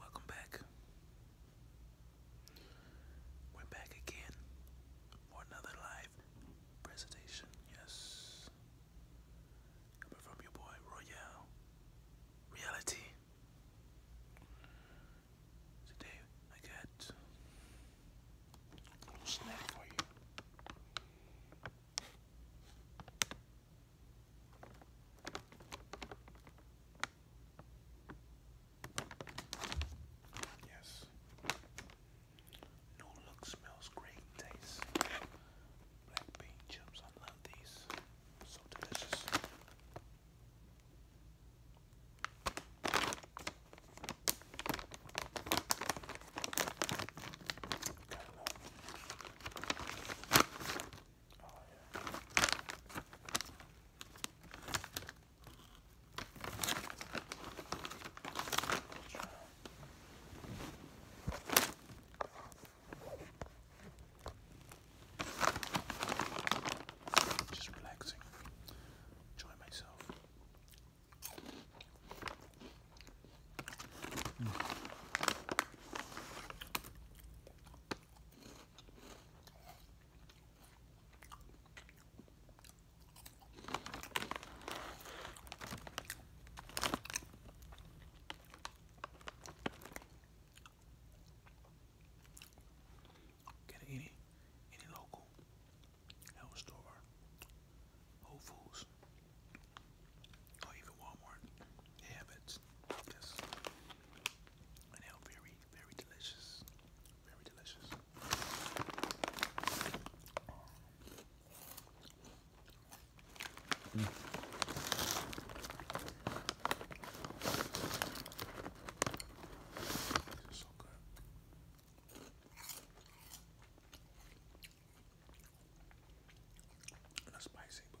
Welcome back. We're back again for another live presentation. Yes. Coming from your boy Royale Reality. Today I got a little snack for you. Yes. No look smells great taste. Black bean chips, I love these. So delicious. Got a lot. Oh, yeah. Just relaxing, enjoy myself. Get any any local health store, Whole Foods or even Walmart. have it. Yes. And they very, very delicious. Very delicious. Mm. This is so good. A spicy, but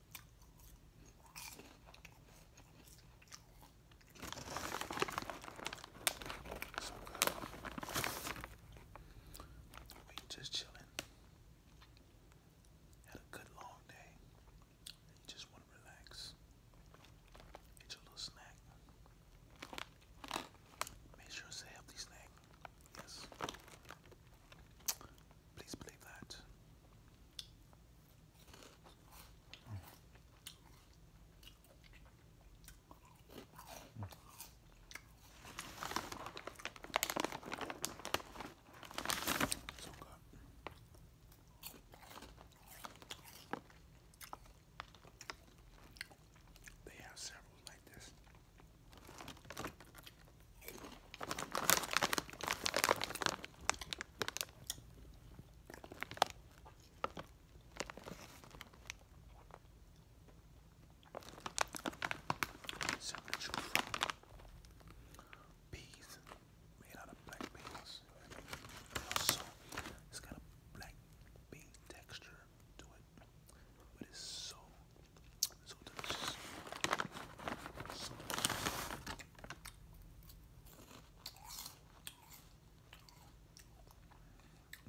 So good. just chilling. Had a good long day. You just want to relax. Get your little snack. Make sure it's a healthy snack. Yes. Please believe that. So good. They have several like this. So that you peas made out of black beans. Also, it's got a black bean texture to it, but it's so So delicious.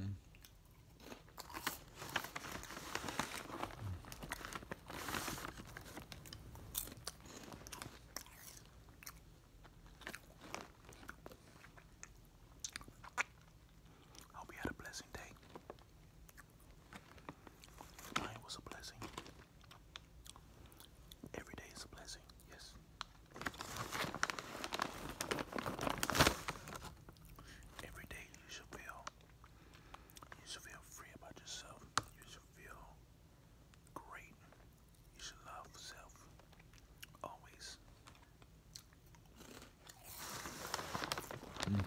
Mm. Hope you had a blessing day. Mine was a blessing. Every day is a blessing, yes. Every day you should feel you should feel free about yourself. You should feel great. You should love yourself. Always. Mm.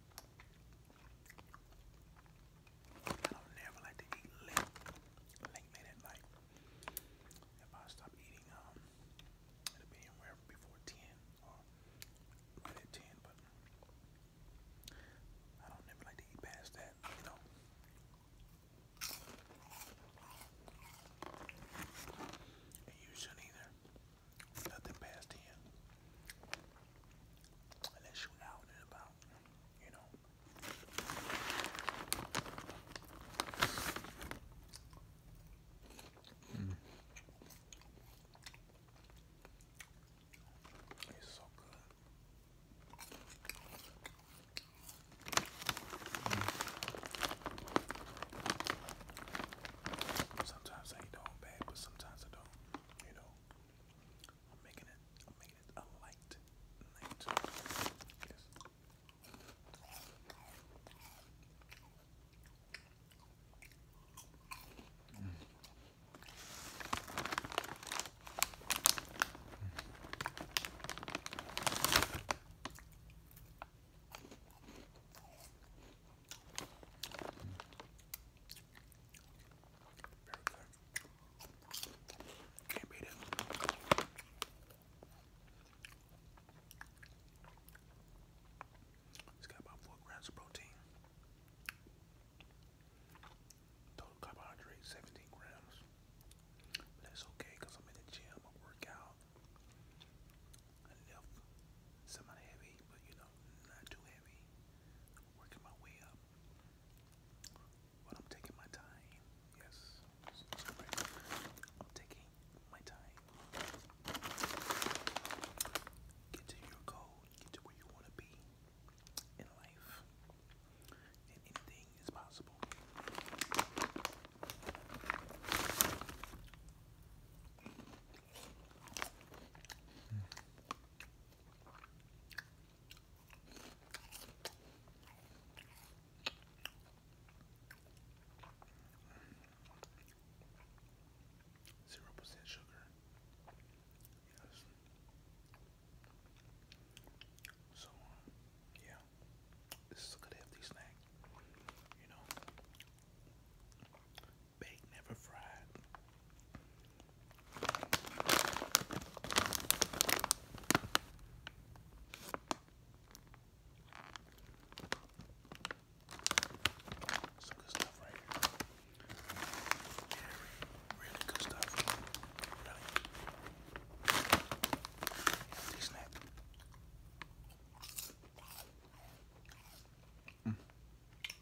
I don't never like to eat late, late at night. If I stop eating, um, it'll be anywhere before ten right at ten. But I don't never like to eat past that, you know. And you shouldn't either. Nothing past ten unless you're out and you know. Mm. It's so good. Sometimes I eat the whole but sometimes I don't, you know. I'm making it. I'm it a light night. Yes. Very Can't beat it. It's got about four grams of protein. Total carbohydrates, 17 grams. But that's okay because I'm in the gym, I work out. I lift somewhat heavy, but you know, not too heavy working my way up. But I'm taking my time. Yes. I'm taking my time. Get to your goal. Get to where you want to be in life. anything is possible. Zero percent sugar. Yes. So, uh, yeah, this is a good healthy snack. You know, baked, never fried. Some good stuff right here. really good stuff. Really. Empty snack. Mm.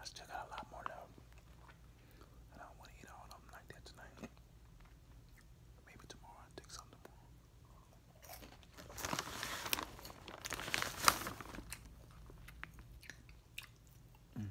I still got a lot more though. And I don't want to eat all of them like that tonight. Maybe tomorrow I'll take something more. Mm.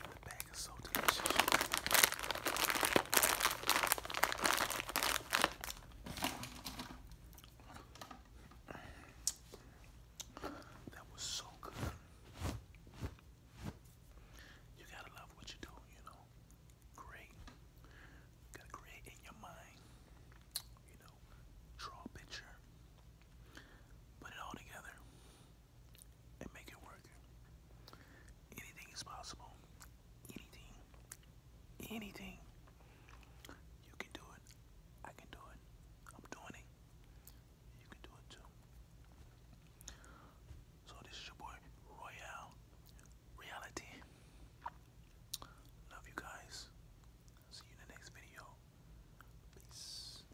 The bag is so delicious. That was so good. You gotta love what you do, you know. Great. gotta in your mind. You know, draw a picture. Put it all together and make it work. Anything is possible. Anything. Anything. You can do it. I can do it. I'm doing it. You can do it too. So this is your boy Royale Reality. Love you guys. See you in the next video. Peace.